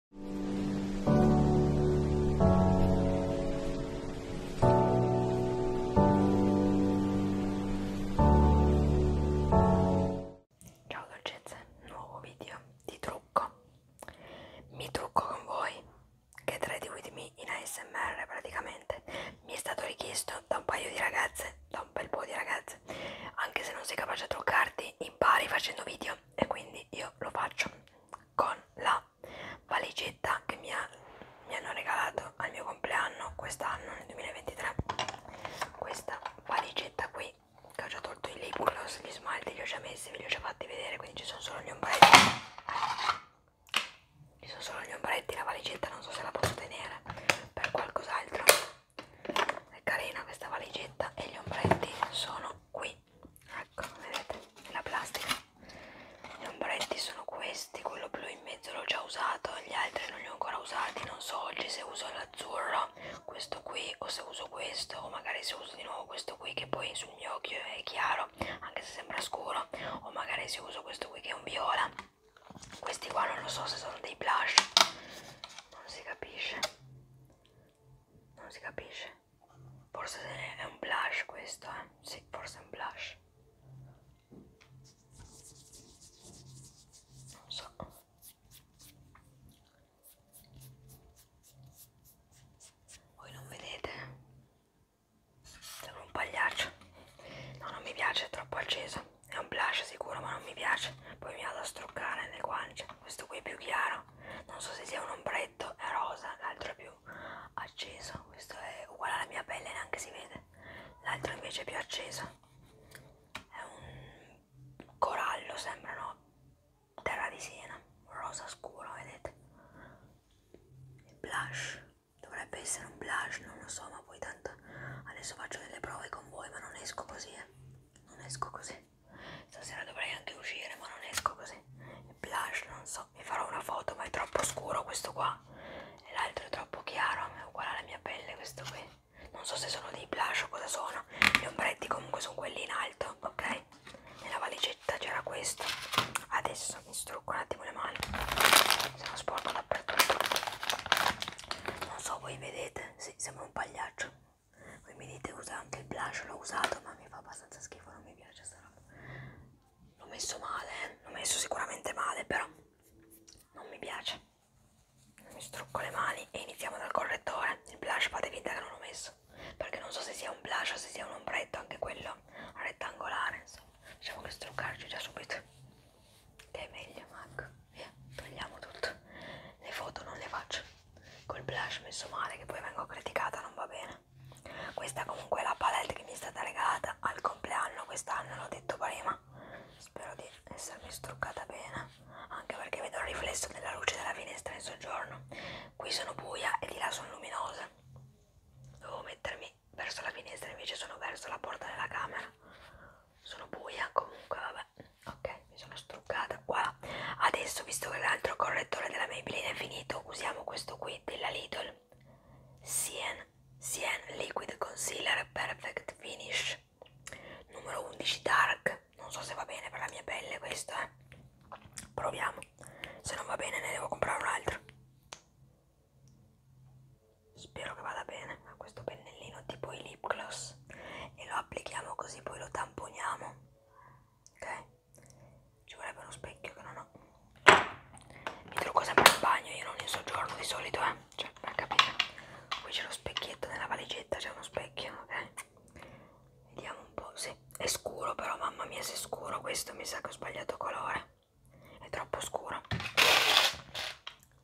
Ciao dolcezze, nuovo video di trucco. Mi trucco con voi, che trade with me in ASMR praticamente. Mi è stato richiesto da un paio di ragazze, da un bel po' di ragazze. Anche se non sei capace a truccarti, impari facendo video e quindi io lo faccio con la valigetta che mi, ha, mi hanno regalato al mio compleanno quest'anno nel 2023 questa valigetta qui che ho già tolto i lip gloss, gli smalti li ho già messi, ve li ho già fatti vedere quindi ci sono solo gli ombretti ci sono solo gli ombretti, la valigetta non so se la posso tenere per qualcos'altro è carina questa valigetta e gli ombretti sono qui ecco vedete nella plastica gli ombretti sono questi quello blu in mezzo l'ho già usato gli altri non li ho ancora usati non so oggi se uso l'azzurro questo qui o se uso questo o magari se uso di nuovo questo qui che poi sul mio occhio è chiaro anche se sembra scuro o magari se uso questo qui che è un viola questi qua non lo so se sono dei blush non si capisce non si capisce forse è un blush questo eh? sì forse è un blush non so voi non vedete sembra un pagliaccio no non mi piace è troppo acceso è un blush sicuro ma non mi piace poi mi vado a struccare le guance questo qui è più chiaro non so se sia un ombretto è rosa l'altro è più acceso questo è uguale alla mia pelle neanche si vede l'altro invece è più acceso è un corallo sembrano terra di siena rosa scuro vedete il blush dovrebbe essere un blush non lo so ma poi tanto adesso faccio delle prove con voi ma non esco così eh non esco così. Stasera dovrei anche uscire, ma non esco così. Il blush, non so, mi farò una foto, ma è troppo scuro questo qua. E l'altro è troppo chiaro, è uguale alla mia pelle questo qui. Non so se sono dei blush o cosa sono. Gli ombretti comunque sono quelli in alto, ok? Nella valigetta c'era questo. Adesso mi strucco un attimo le mani. Sono sporco dappertutto. Non so, voi vedete? Sì, sembra sembra un pagliaccio. Voi mi dite usa anche il blush, l'ho usato, ma mi fa abbastanza schifo, non mi piace sta roba. L'ho messo male, eh. l'ho messo sicuramente male, però non mi piace. Mi strucco le mani e iniziamo dal correttore. Il blush fate finta che non l'ho messo, perché non so se sia un blush o se sia un ombretto, anche quello rettangolare, insomma. Diciamo che struccarci già subito, che è meglio, Mac via, togliamo tutto. Le foto non le faccio col blush messo male che poi vengo criticata, non va bene. Questa comunque è la palette che mi è stata regalata al compleanno quest'anno, l'ho detto prima. Spero di essermi struccata bene, anche perché vedo il riflesso della luce della finestra in soggiorno. Qui sono buia e di là sono luminose. Devo mettermi verso la finestra, invece sono verso la porta della camera sono buia comunque vabbè ok mi sono struccata qua adesso visto che l'altro correttore della Maybelline è finito usiamo questo qui della Lidl Sien Sien Liquid Concealer Perfect Finish numero 11 Dark non so se va bene per la mia pelle questo eh proviamo se non va bene ne devo comprare un altro spero che vada bene a questo pennellino tipo i lip gloss e lo applichiamo così poi lo tamponiamo ok ci vorrebbe uno specchio che non ho mi trucco sempre in bagno io non in soggiorno di solito eh cioè per capire qui c'è lo specchietto nella valigetta c'è uno specchio ok vediamo un po' sì è scuro però mamma mia se è scuro questo mi sa che ho sbagliato colore è troppo scuro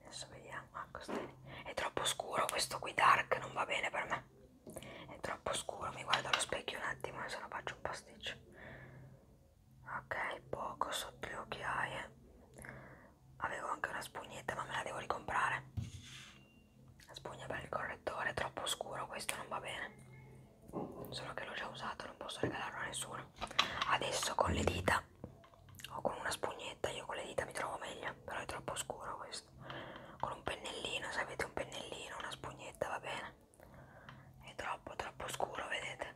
adesso vediamo ah, è troppo scuro questo qui dark non va bene per me è troppo scuro mi guardo allo specchio un attimo e se no faccio un pasticcio ok poco sotto le occhiaie avevo anche una spugnetta ma me la devo ricomprare la spugna per il correttore è troppo scuro questo non va bene solo che l'ho già usato non posso regalarlo a nessuno adesso con le dita o con una spugnetta, io con le dita mi trovo meglio, però è troppo scuro questo. Con un pennellino, se avete un pennellino, una spugnetta va bene. È troppo troppo scuro, vedete?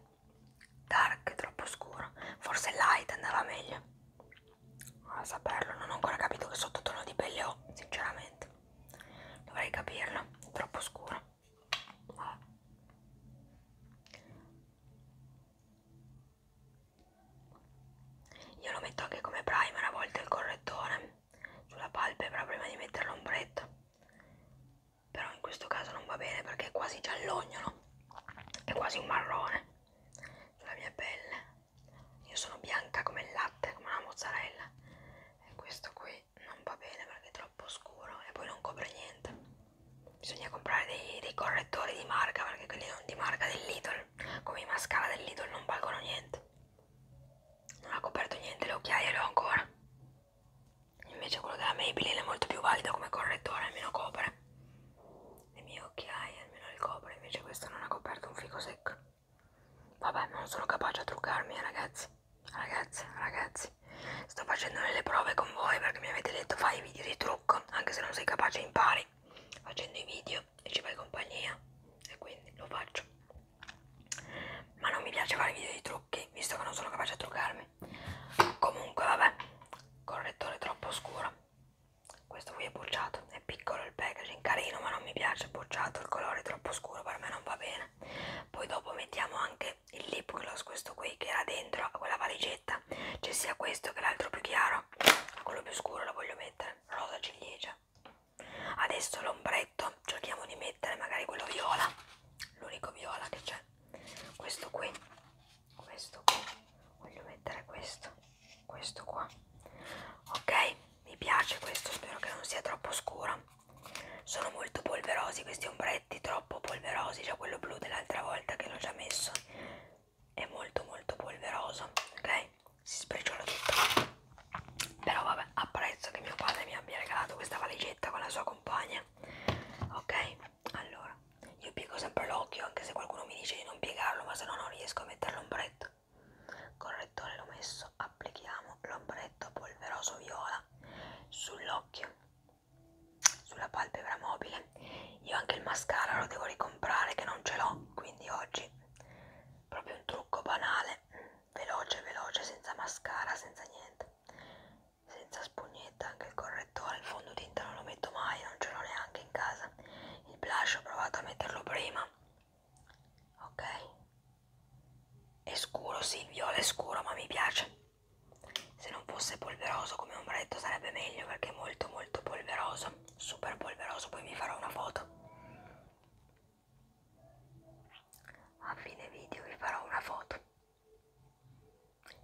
Dark, troppo scuro. Forse light andava meglio. A saperlo, non ho ancora capito che sottotono di pelle ho, sinceramente. Dovrei capirlo, è troppo scuro. Io lo metto anche come primer a volte il correttore sulla palpebra prima di mettere l'ombretta. Però in questo caso non va bene perché è quasi giallognolo, è quasi un marrone sulla mia pelle. Io sono bianca come il latte, come una mozzarella. E questo qui poi non va bene perché è troppo scuro e poi non copre niente. Bisogna comprare dei, dei correttori di marca perché quelli non di marca del Lidl, come i mascara del Lidl non valgono niente. Non ha coperto niente le occhiaie, le ho ancora. Invece quello della Maybelline è molto più valido come correttore, almeno copre. Le mie occhiaie almeno le copre, invece questo non ha coperto un fico secco. Vabbè, non sono capace a truccarmi, eh, ragazzi. Ragazze, ragazzi, sto facendo delle prove con voi perché mi avete detto fai i video di trucco, anche se non sei capace impari facendo i video e ci fai compagnia e quindi lo faccio. Ma non mi piace fare video di trucchi, visto che non sono capace a truccarmi. Comunque, vabbè, correttore troppo scuro. Questo qui è bocciato, è piccolo il packaging, carino ma non mi piace, bocciato, il colore è troppo scuro, per me non va bene. Poi dopo mettiamo anche il lip gloss questo qui che era dentro a quella valigetta c'è sia questo che l'altro più chiaro quello più scuro lo voglio mettere rosa ciliegia adesso l'ombretto cerchiamo di mettere magari quello viola l'unico viola che c'è questo qui questo qui voglio mettere questo questo qua ok mi piace questo spero che non sia troppo scuro sono molto polverosi questi ombretti troppo polverosi cioè quello blu dell'altra volta che l'ho già messo è molto molto polveroso ok si sprigiola tutto però vabbè apprezzo che mio padre mi abbia regalato questa valigetta con la sua compagna ok allora io piego sempre l'occhio anche se qualcuno mi dice di non piegarlo ma se no non riesco a mettere l'ombretto correttore l'ho messo adesso applichiamo l'ombretto polveroso viola sull'occhio, sulla palpebra mobile. Io anche il mascara lo devo ricomprare che non ce l'ho, quindi oggi proprio un trucco banale, veloce, veloce, senza mascara, senza niente, senza spugnetta, anche il correttore, il fondotinta non lo metto mai, non ce l'ho neanche in casa. Il blush ho provato a metterlo prima ok è scuro sì il viola è scuro ma mi piace se non fosse polveroso come ombretto sarebbe meglio perché è molto molto polveroso super polveroso poi vi farò una foto a fine video vi farò una foto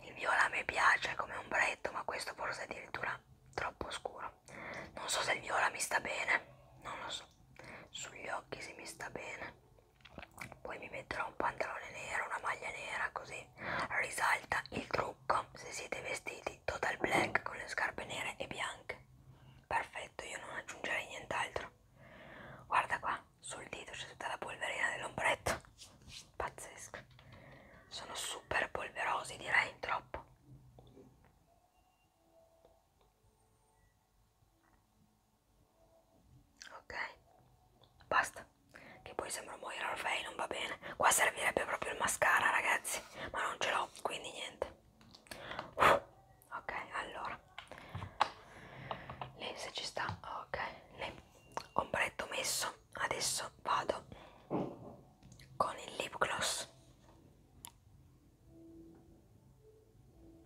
il viola mi piace come ombretto ma questo forse è addirittura troppo scuro non so se il viola mi sta bene non lo so sugli occhi se mi sta bene poi mi metterò un pantalone nero una maglia nera così risalta il trucco se siete vestiti total black con le scarpe nere e bianche perfetto io non aggiungerei nient'altro guarda qua sul dito c'è tutta la polverina dell'ombretto pazzesco sono super polverosi direi troppo ok basta che poi sembra un muoio Orfei non va bene qua servirebbe proprio il mascara ragazzi ma non ce l'ho quindi niente uh, ok allora lì se ci sta ok lì ombretto messo adesso vado con il lip gloss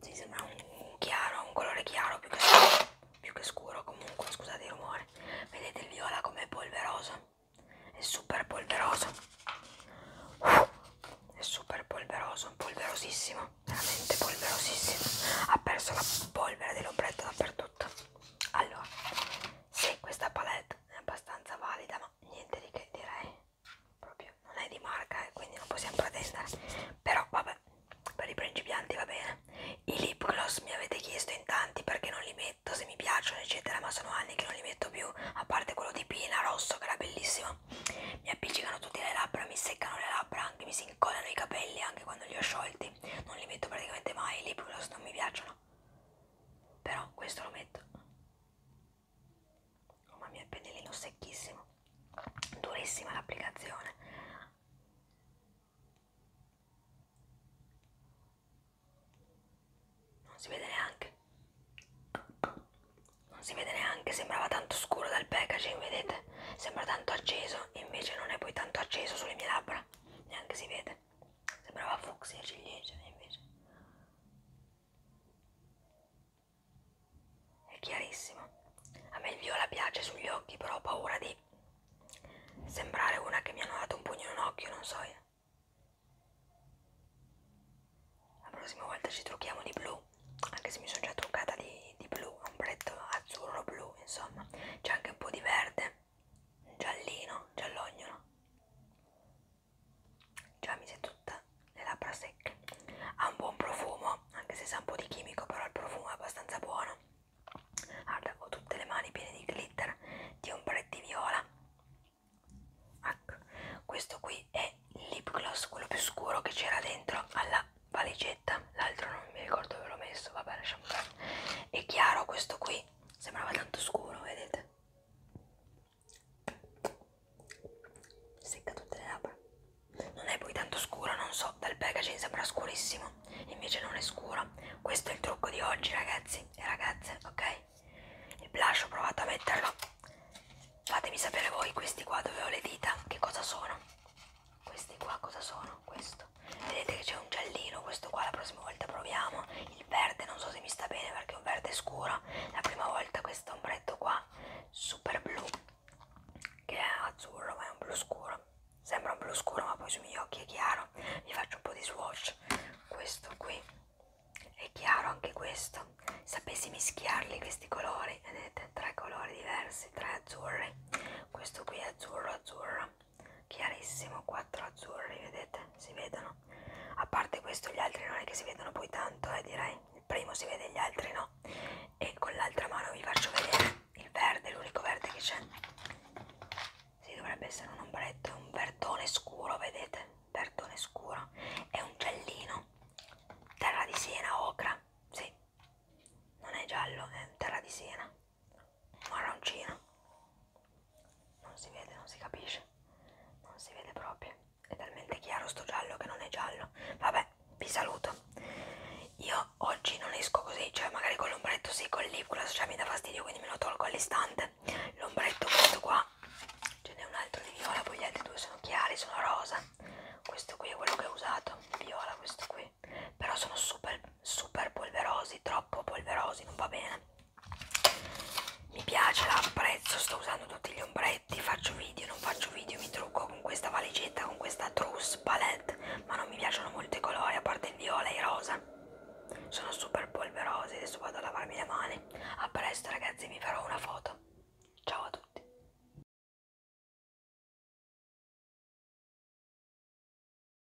si sì, sembra un, un chiaro, un colore chiaro più che, scuro, più che scuro comunque, scusate il rumore. Vedete il viola com'è polveroso? È super polveroso. Uh, è super polveroso, polverosissimo, veramente polverosissimo. Ha perso la polvere dell'ombretto dappertutto. Allora, sì, questa palette è abbastanza valida, ma niente di che direi proprio non è di marca e eh, quindi non possiamo pretendere però vabbè per i principianti va bene i lip gloss mi avete chiesto in tanti perché non li metto se mi piacciono eccetera ma sono anni che non li metto più a parte quello di Pina rosso che era bellissimo mi appiccicano tutte le labbra mi seccano le labbra anche mi si incollano i capelli anche quando li ho sciolti non li metto praticamente mai i lip gloss non mi piacciono però questo lo metto Oh mamma mia, il pennellino secchissimo, durissima l'applicazione. Non si vede neanche. Non si vede neanche, sembrava tanto scuro dal packaging, vedete? Sembra tanto acceso, invece non è poi tanto acceso sulle mie labbra, neanche si vede. Sembrava fucsia ciliegia invece. È chiarissimo. A me il viola piace sugli occhi, però ho paura di sembrare una che mi hanno dato un pugno in un occhio, non so io. Eh. La prossima volta ci trucchiamo di blu, anche se mi sono già truccata di, di blu, un bretto azzurro blu, insomma. C'è anche un po' di verde, giallino, giallognolo già mi si è tutta le labbra secche ha un buon profumo anche se sa un po' di chimico però il profumo è abbastanza buono guarda ho tutte le mani piene di glitter di ombretti viola ecco questo qui è il lip gloss quello più scuro che c'era dentro alla valigetta l'altro non mi ricordo dove l'ho messo vabbè lasciamo perdere è chiaro questo qui sembrava tanto scuro vedete Secca tutte le labbra. Non è poi tanto scuro, non so, dal packaging sembra scurissimo, invece non è scuro. Questo è il trucco di oggi ragazzi e ragazze, ok? Il blush ho provato a metterlo. Fatemi sapere voi questi qua dove ho le dita, che cosa sono. Questi qua cosa sono? Questo. Vedete che c'è un giallino, questo qua la prossima volta proviamo il verde non so se mi sta bene perché è un verde scuro la prima volta questo ombretto qua super blu che è azzurro ma è un blu scuro sembra un blu scuro ma poi sui miei occhi è chiaro vi faccio un po' di swatch questo qui è chiaro anche questo sapessi mischiarli questi colori vedete tre colori diversi tre azzurri questo qui è azzurro azzurro sopra chiarissimo 4 azzurri vedete si vedono a parte questo gli altri non è che si vedono poi tanto eh direi il primo si vede gli altri no e con l'altra mano vi faccio vedere il verde l'unico verde che c'è si dovrebbe essere un ombretto è un verdone scuro vedete verdone scuro è un giallino terra di siena ocra sì non è giallo è terra di siena marroncina non si vede, non si capisce non si vede proprio è talmente chiaro sto giallo che non è giallo vabbè, vi saluto io oggi non esco così cioè magari con l'ombretto sì, con il lip gloss cioè mi dà fastidio quindi me lo tolgo all'istante l'ombretto questo qua ce n'è un altro di viola, poi gli altri due sono chiari sono rosa questo qui è quello che ho usato, viola questo qui però sono super, super polverosi, troppo polverosi, non va bene mi piace, la apprezzo, sto usando tutti gli ombretti, faccio video, non faccio video, mi trucco con questa valigetta, con questa trousse palette, ma non mi piacciono molti colori, a parte il viola e il rosa. Sono super polverosi, adesso vado a lavarmi le mani. A presto ragazzi, vi farò una foto. Ciao a tutti.